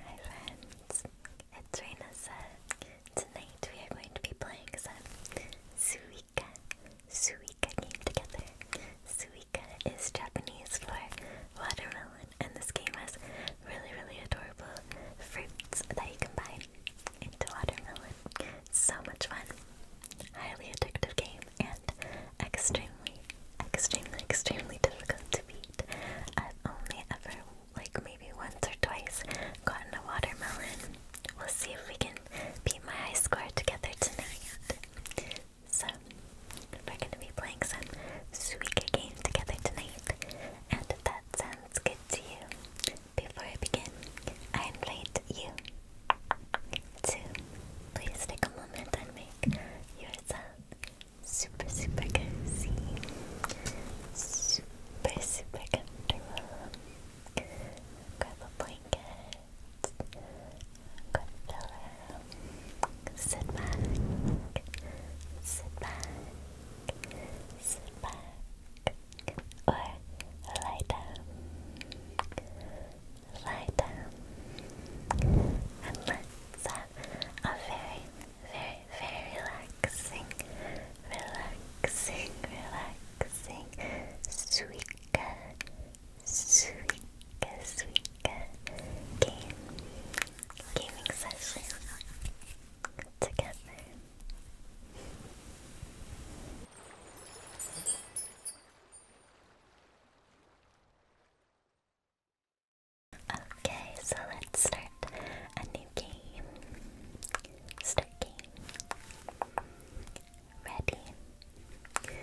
Hi friends, it's Rainasa. Tonight we are going to be playing some Suika, Suika game together. Suika is Japanese for watermelon and this game has really really adorable fruits that you combine into watermelon. So much fun. Highly addictive game and extremely, extremely, extremely difficult to beat. I've only ever, like maybe once or twice, gotten a watermelon. We'll see if we can beat my high score together tonight. So, we're going to be playing some sweet game together tonight, and that sounds good to you, before I begin, I invite you to please take a moment and make yourself super, super cozy, super, super comfortable. Grab a blanket, grab a pillow, sit back, sit back, sit back, or lie down, lie down, and let's uh, a very, very, very relaxing, relaxing, relaxing, suika, suika, suika game, gaming session together. Okay, so let's start a new game. Start game. Ready?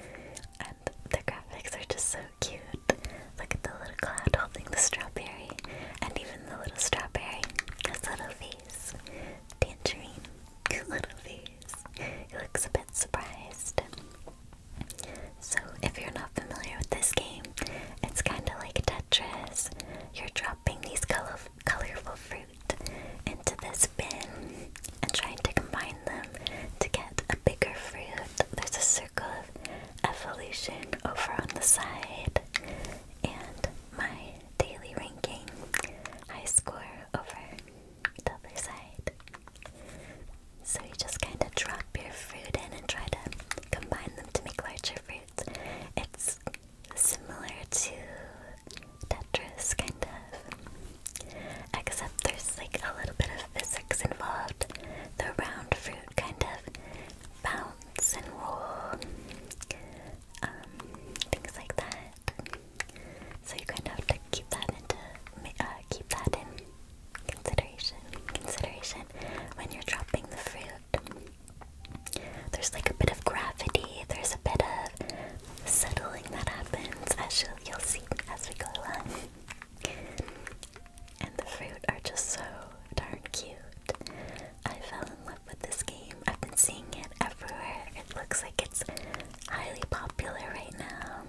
And the graphics are just so cute. Look at the little cloud holding the strawberry, and even the little strawberry has a little face. Tangerine, little face. He looks a bit surprised. So, if you're not familiar with this game, it's kind of like Tetris. You're dropping these color colorful fruit into this bin and trying to combine them to get a bigger fruit. There's a circle of evolution over on the side, and my daily ranking high score over the other side. So you just kind of drop your fruit in and try to combine them to make larger fruits. It's similar to Tetris, kind of. Except there's like a little bit of physics involved. The round fruit kind of bounce and roll. Um, things like that. So you kind of have to keep that into, uh, keep that in Consideration, consideration. When you're dropping the fruit, there's like a bit of gravity, there's a bit of settling that happens as you'll, you'll see as we go along. And the fruit are just so darn cute. I fell in love with this game. I've been seeing it everywhere. It looks like it's highly popular right now.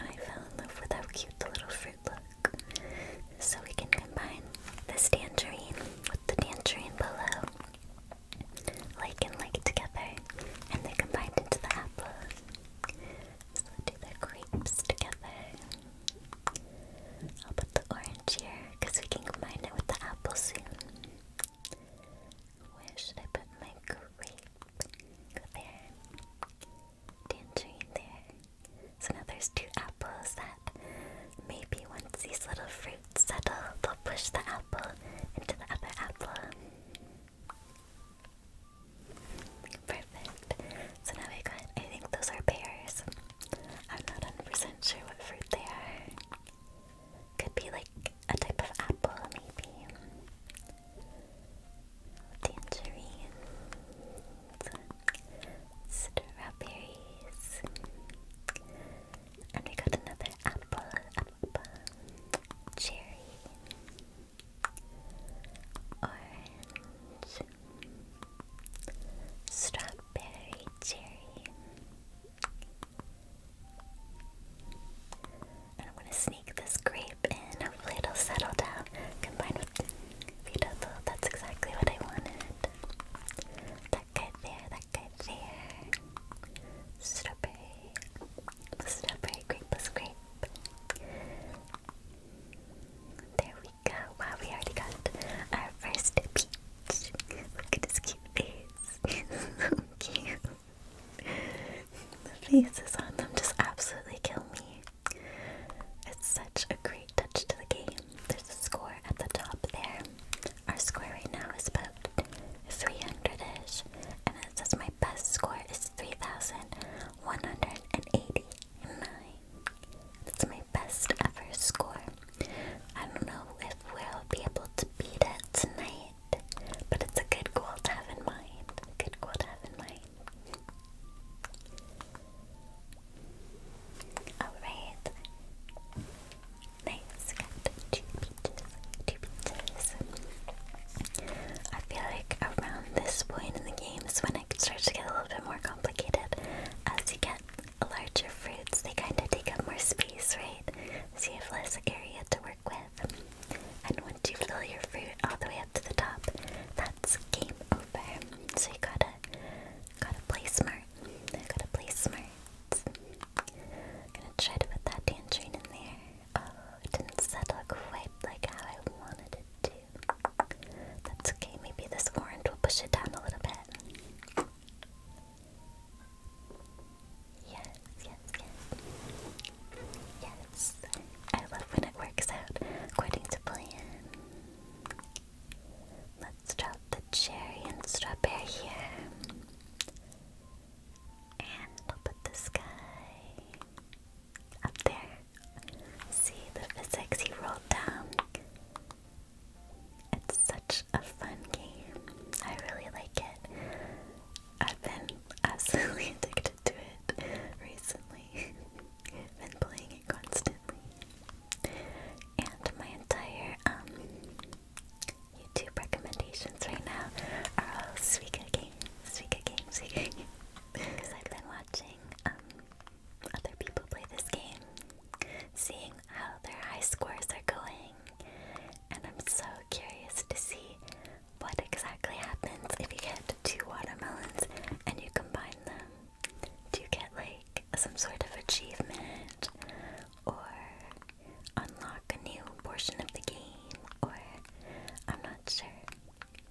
I fell in love with how cute the little fruit look. So we can combine this tangerine with the tangerine below. Like and like together. And they're combined into the apple. So we'll do the crepes together. I'll put the orange here because we can combine it with the apple soon. Where should I put my grape? Go there. Tangerine there. So now there's two apples that maybe once these little fruits settle, they'll push the apple into the other apple. Perfect. So now we got, I think those are pears. I'm not 100 sure what fruit they are. Could be like a type of apple, maybe tangerines, strawberries, and we got another apple, apple, cherry, orange, strawberry, cherry. I'm gonna sneak this grape in. Hopefully it'll settle down. Combined with Vito, that's exactly what I wanted. That guy there, that guy there. Strawberry. Strawberry, grape grape. There we go. Wow, we already got our first peach. Look at his cute face. so cute the faces on them just absolutely kill me. It's such a great touch to the game. There's a score at the top there. Our score right now is about 300-ish, and it says my best score is 3,189. That's my best ever score. I don't know if we'll be able to beat it tonight, but it's a good goal to have in mind. good goal to have in mind. Alright. Nice. Got two peaches. Two peaches. I feel like around this point in the game is when it starts to get a little bit more complicated. As you get larger fruits, they kind of take up more space, right? So you have less area to work with. And once you fill your fruit all the way up to the top, that's game over. So you gotta gotta play smart. Gotta play smart. I'm gonna try to put that tangerine in there. Oh, it didn't settle quite like how I wanted it to. That's okay, maybe this orange will push it down a little bit. Yes, yes, yes, yes. I love when it works out according to plan. Let's drop the cherry and strawberry here. And we'll put this guy up there. See the physics he rolled down. It's such a fun game. I really like it. i absolutely addicted to it recently. Been playing it constantly. And my entire um, YouTube recommendations right now are all Suika games, Suika games, Suika games. Because I've been watching um, other people play this game, seeing how their high scores are going, and I'm so curious to see what exactly happens if you get two watermelons and you combine them? Do you get like some sort of achievement or unlock a new portion of the game? Or I'm not sure,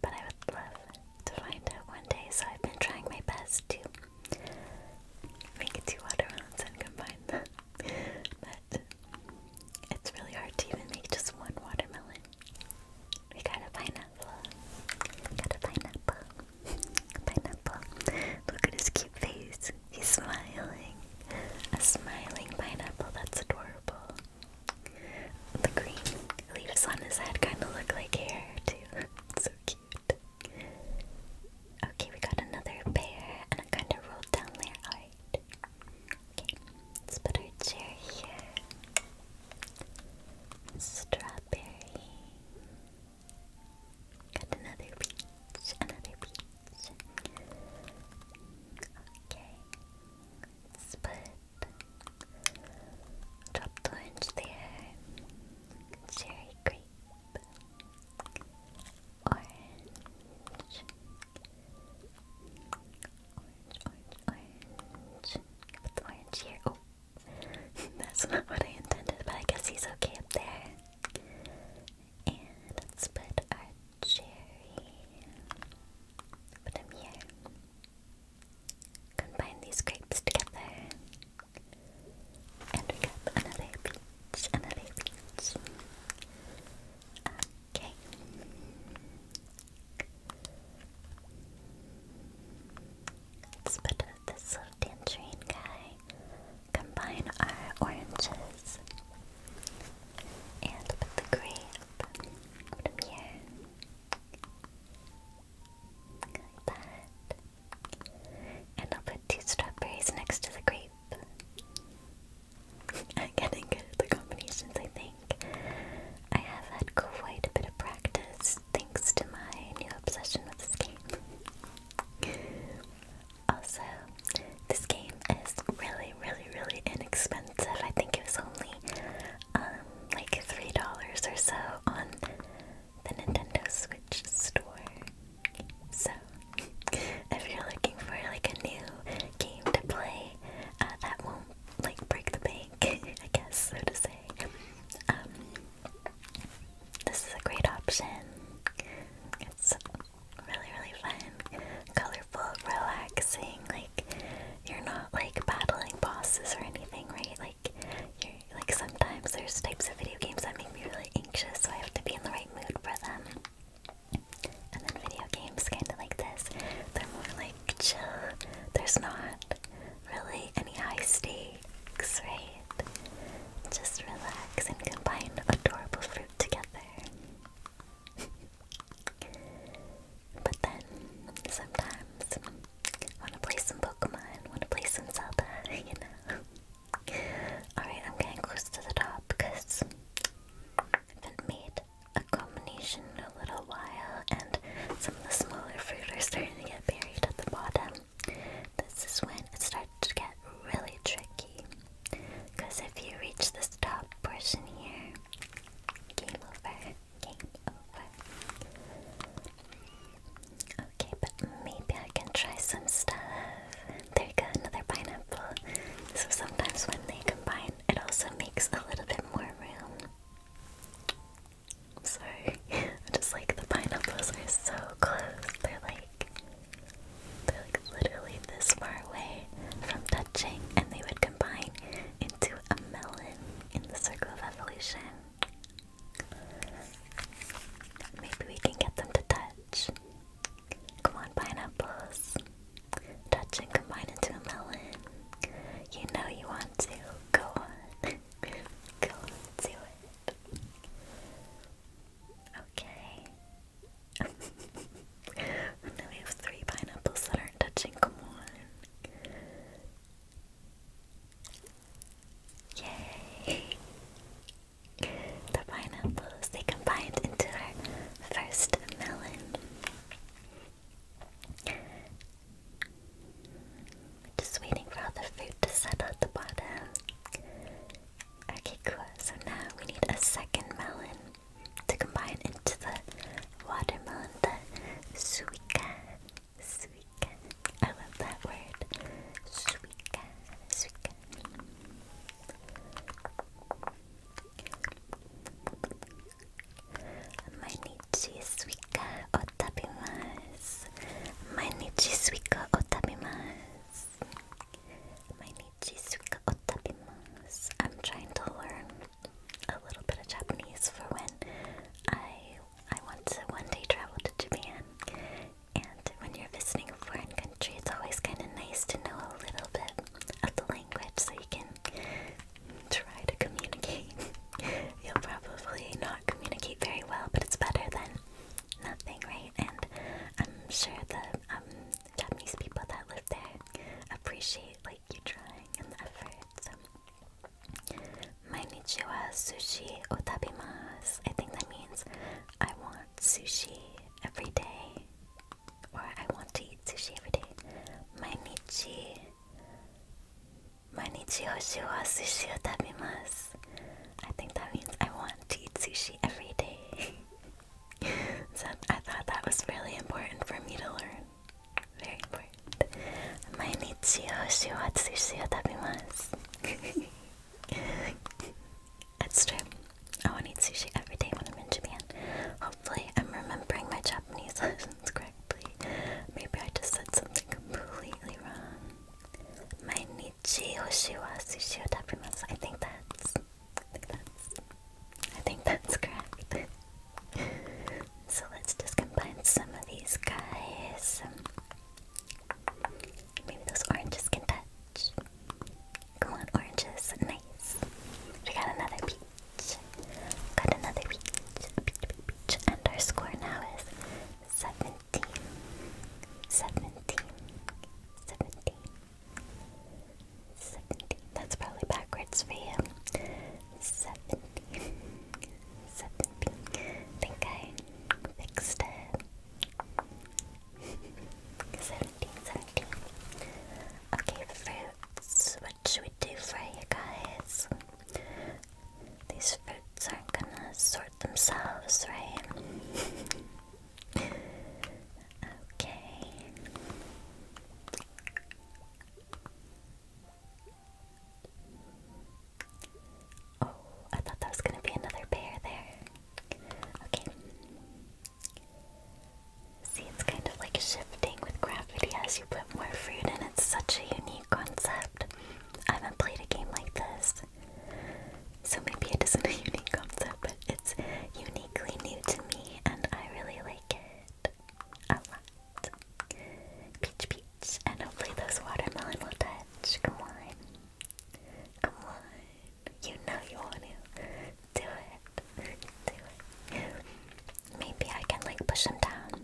but I would love to find out one day, so I've been trying my best to make two watermelons and combine them. but it's really hard to even make just one watermelon. We got a pineapple. got a pineapple. Pineapple. Look at his cute face. He's smiling. A smiling pineapple. That's adorable. The green leaves on his head kind of look like hair, too. so cute. Okay, we got another bear, and I kind of rolled down there. Alright let's put our chair here. Strawberry. Got another peach, another peach. Okay, let's put chopped orange there. Cherry grape. Orange. Orange, orange, Put the orange here. Oh, that's not what I intended, but I guess he's okay up there. And let's put our cherry. Put him here. Combine these grapes together. And we got another peach, another peach. Okay. Let's put this little tangerine guy. Combine our oranges and put the grape. Put here. Like that. And I'll put two strawberries next to the grape. I'm getting good at the combinations, I think. I have had quite a bit of practice thanks to my new obsession with this game. also, this game is really, really, really inexpensive. I think it was only um, like $3 or so on the Nintendo Switch store. So, if you're looking for like a new game to play uh, that won't like break the bank, I guess, so to say. Um, this is a great option. It's really, really fun, colorful, relaxing. Like you're not like battling bosses or anything, right? Like you're like sometimes there's types of video games that make me really anxious, so I have to be in the right mood for them. And then video games, kind of like this, they're more like chill. There's not really any high stakes, right? Just relax and combine adorable fruit together. but then, sometimes, want to play some Pokemon, want to play some Zelda, you know? Alright, I'm getting close to the top because I have made a combination a little while, and some of the smaller fruit are starting to get buried at the bottom. This is when it starts to get really tricky, because if you reach this top portion here, game over, game over. Okay, but maybe I can try some stuff. There you go, another pineapple. So sometimes when they combine it also makes a little bit more room. sorry. just like the pineapples are so close. They're like they're like literally this far away from touching and they would combine into a melon in the circle of evolution. Maybe we can get them to touch. Come on, pineapples. Touch and combine into a melon. You know you want to. Go on. Go do it. Okay. now we have three pineapples that are touching. Come on. Yay! The pineapples, they combined into our first melon just waiting for all the food to settle at the bottom. Okay, cool. So now we need a second melon to combine into the watermelon, the suica. Suica. I love that word. Suica. Suica. Manichi suika otabimasu. Manichi suika otabimasu. Manichi suika otabimasu. I'm trying to learn a little bit of Japanese for when I I want to one day travel to Japan. And when you're visiting a foreign country, it's always kind of nice to know a little bit of the language so you can try to communicate. You'll probably not communicate very well, but it's better than nothing, right? And I'm sure the um, Japanese people that live there appreciate like you trying and the effort. So. Um, Mainichi wa sushi o tabimasu. I think that means I want sushi every day or I want to eat sushi every day. Mainichi, mainichi hoshi wa sushi o I think that means I want to eat sushi every day. so I thought that was really important for me to learn. Very important. Mainichi hoshi wa sushi o That's true. I want to eat sushi every day when I'm in Japan. I'm remembering my Japanese lessons correctly. Maybe I just said something completely wrong. My nichi hoshi wa sushi o tabimasu. I think that's. I think that's. I think that's correct. so let's just combine some of these guys. Maybe those oranges can touch. Go on, oranges. Nice. We got another peach. Got another peach. Peach, peach, peach. And our score now is 17. 17. 17. That's probably backwards for you. 17. 17. think I fixed it. 17, Okay, fruits what should we do for you guys? These fruits aren't gonna sort themselves, right? okay. Oh, I thought that was gonna be another pair there. Okay. See, it's kind of like shifting with gravity as you put more fruit in. It's such a unique concept. I haven't played a game like this. So maybe it isn't a unique concept, but it's uniquely new to me and I really like it a lot. Peach peach, and hopefully those watermelon will touch. Come on. Come on. You know you want to do it. do it. Maybe I can like push them down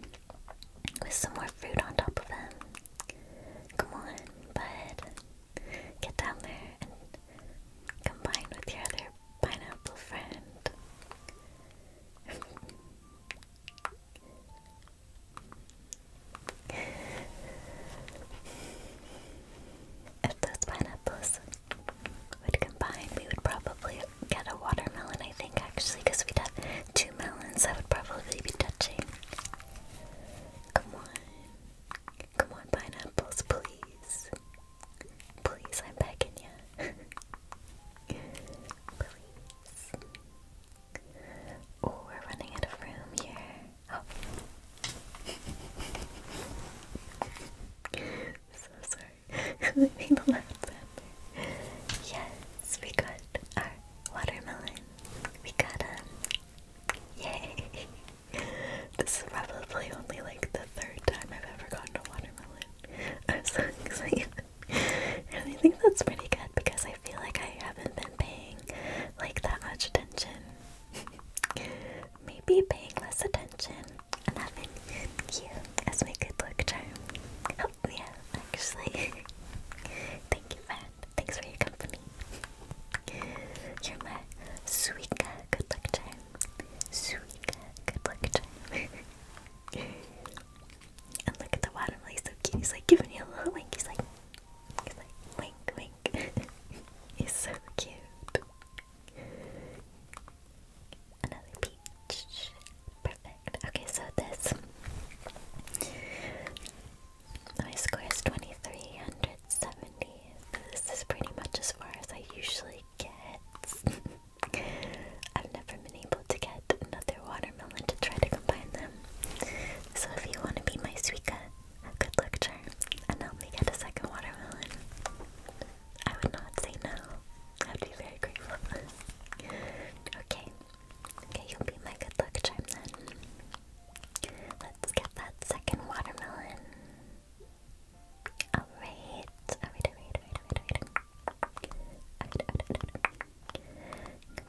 with some more fruit on top of them. Come on, bud. Get down there and combine with your other pineapple friend if those pineapples would combine, we would probably get a watermelon, I think, actually, because we'd have two melons that would probably be touching. Come on. Come on, pineapples, please. Please, I'm begging you. please. Oh, we're running out of room here. Oh. so sorry we made the last one. Yes, we got our watermelon. We got a um, Yay! This is probably only like the third time I've ever gotten a watermelon. I'm so excited. And I think that's pretty good because I feel like I haven't been paying like that much attention. Maybe paying less attention Eleven, cute, as my good luck charm. Helped me out, actually. Thank you, friend. Thanks for your company. You're my Suika good luck charm. Suika good luck charm. and look at the bottom, like, so cute. He's like giving you a little wink. He's like, he's like, wink, wink. he's so cute. Another peach. Perfect. Okay, so this. My score is 2370. This is pretty much as far as I usually get. I've never been able to get another watermelon to try to combine them. So if you want to be my Suika, good luck, charm, and help me get a second watermelon. I would not say no. I'd be very grateful. okay. Okay, you'll be my good luck charm then. Let's get that second watermelon. Alright. Alright, alright, alright, alright,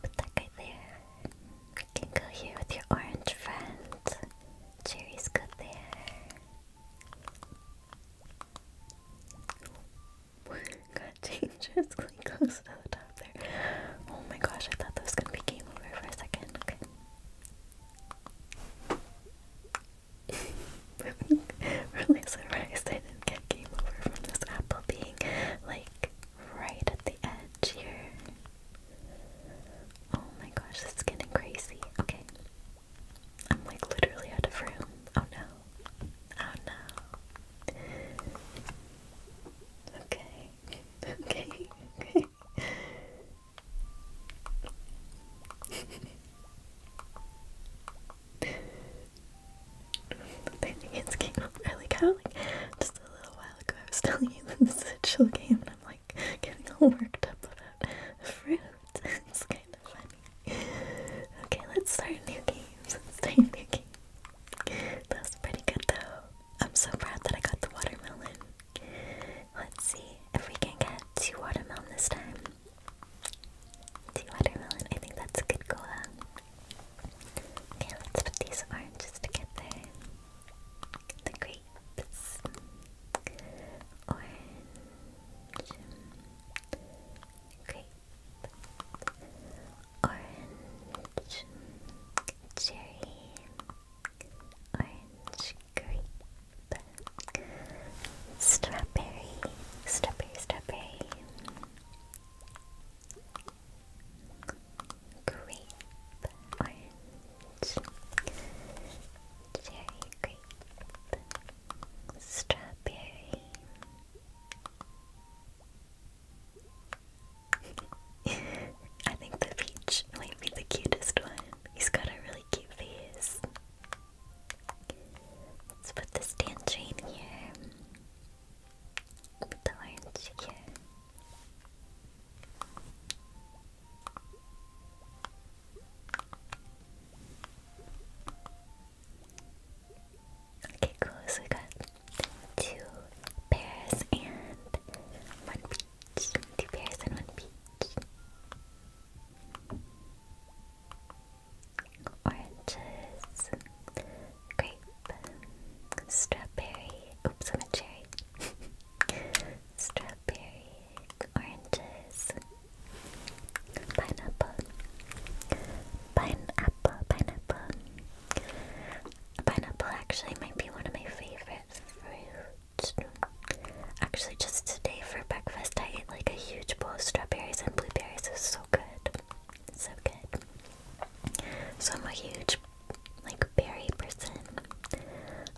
Put that guy there. You can go here with your orange friend. Cherry's good there. God, just close to the top there. Oh my gosh, I thought that was gonna be game over for a second. Okay. really surprised I didn't get game over from this apple being like right at the edge here. Oh my gosh, this is getting crazy. Okay. I'm like literally out of room. Oh no. Oh no. Okay. Okay. Okay. I think it's game I like how like just a little while ago I was telling you this is a chill and I'm like getting all worked up about fruit okay, let's start new game. new game. That pretty good though. I'm so proud that I got the watermelon. Let's see if we can get two watermelon this time. Two watermelon, I think that's a good goal. Okay, let's put these oranges together. The grapes orange, grape, orange, cherry, orange, grape, strawberry, strawberry, strawberry, grape, orange, cherry grape, strawberry. I think the peach might be the cutest one. He's got a really cute face. Let's put this tangerine here. the orange here. Okay, cool. So we got two pairs and one peach. Two pairs and one peach. Oranges, grape, strawberry. Oops, I'm a cherry. strawberry, oranges, Pineapple. Pineapple, pineapple. Pineapple actually might be one of my favorite fruits. Actually, just today for breakfast, I ate like a huge bowl of strawberries and blueberries. It was so good. So good. So I'm a huge like berry person.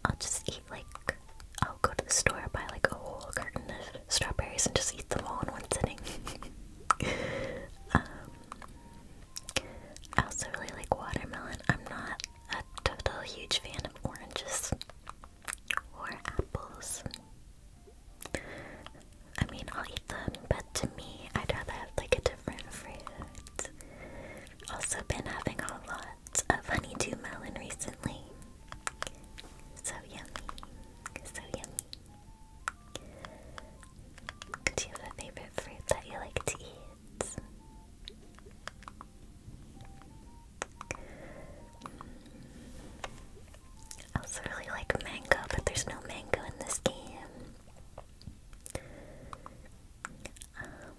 I'll just eat like I'll go to the store, buy like a whole carton of strawberries and just eat them all in one sitting. Um, I also really like watermelon. I'm not a total huge fan of oranges or apples. I mean, I'll eat them, but to me, I'd rather have like a different fruit. Also, been having a lot of honeydew melon recently. So yummy. So yummy. Do you have a favorite fruit that you like to eat? Mm. I also really like mango, but there's no mango in this game. Um,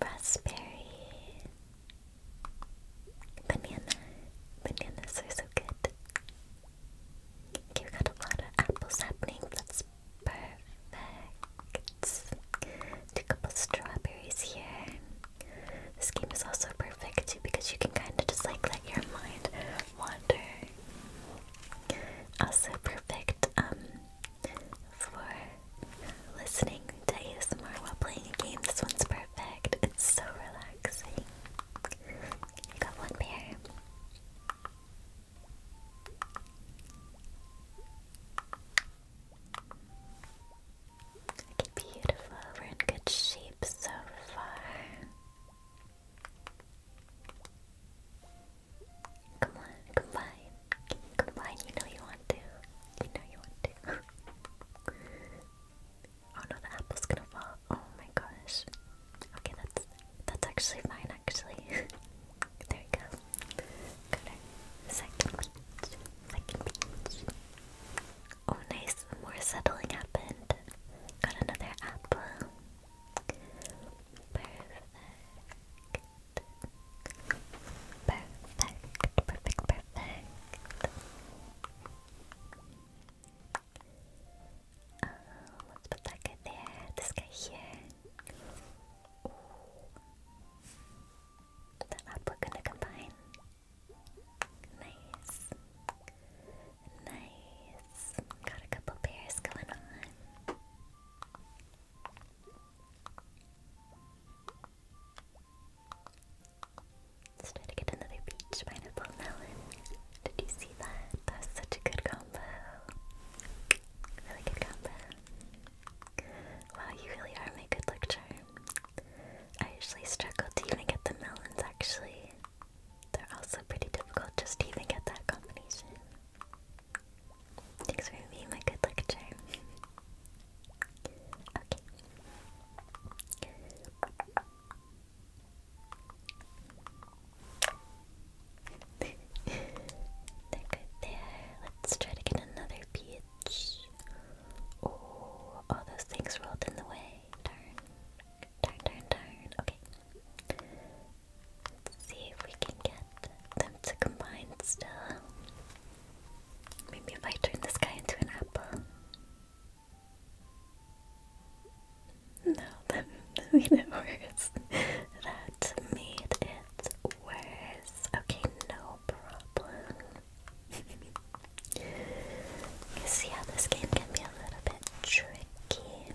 raspberry. Banana. Bananas are so good. Okay, got a lot of apples happening. That's perfect. a couple strawberries here. This game is also perfect too because you can kind of just like let your mind wander. Also perfect um, for listening to ASMR while playing a game. This one's perfect. It's so relaxing. I got one pair. beautiful. We're in good shape so far. Come on, combine. Combine, you know you want to. You know you want to. Oh no, the apple's gonna fall. Oh my gosh. Okay, that's that's actually fine actually. there you go. Got Second Second Oh nice, more settling happened. Got another apple. Perfect. Perfect. Perfect. Perfect let's put that guy there. This guy here. Ooh. The up gonna combine. Nice. Nice. Got a couple pairs going on try to get another peach pineapple melon. Did you see that? That's such a good combo. Really good combo. Wow, you really are my good luck I usually struggle to even get the melons actually. They're also pretty difficult just to even get that combination. Thanks for being my good luck Okay. they there. Let's try to get another peach. Oh, all those things rolled in the way. Darn. Darn, darn, darn. Okay. Let's see if we can get them to combine still. Maybe if I turn this guy into an apple. No, that made it worse. That made it worse. Okay, no problem. you see how this game can be a little bit tricky.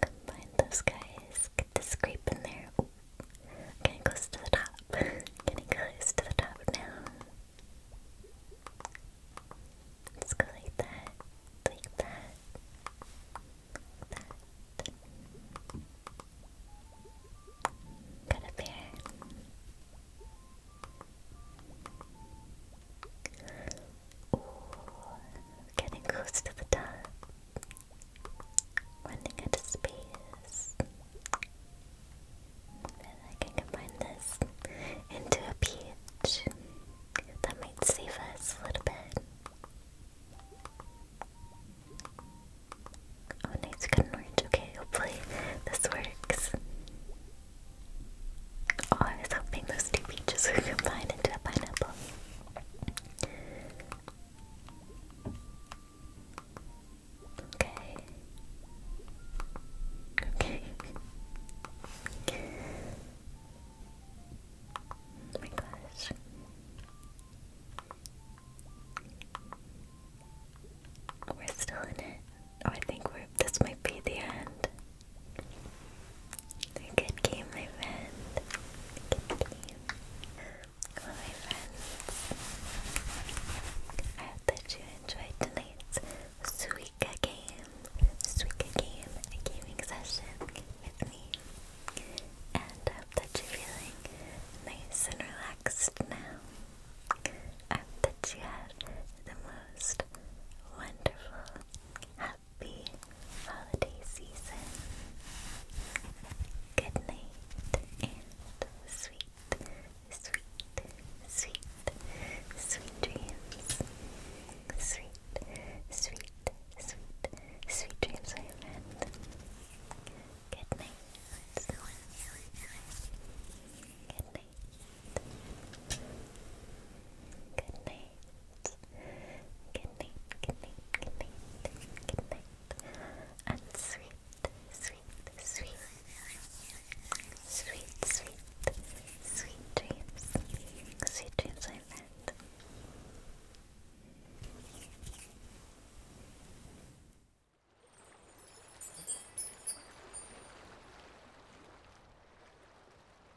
Combine those guys. Get the scrape in there. I'm getting close to the top. getting close to the top now. Let's go like that. Like that. Like that. Got a bear getting close to the top. Running out space. I can combine this into a peach. That might save us a little bit. Oh nice, got orange. Okay, hopefully this works. Oh, I was hoping those two peaches would combine into a pineapple. Okay. Okay. Oh my gosh. We're still in it. Oh, I think we're. This might be the end. Good game, my friend. Good my friends, I hope that you enjoyed tonight's Suika game, Suika game, a gaming session with me, and I hope that you're feeling nice and relaxed now. I hope that you had the most wonderful, happy holiday season. Good night and sweet, sweet, sweet, sweet dreams. Sweet, sweet, sweet, sweet dreams, my friend. Good night. Good night. Good night. Good night, good night, good night, good night. And sweet, sweet, sweet, sweet, sweet, dreams. Sweet dreams, my friend.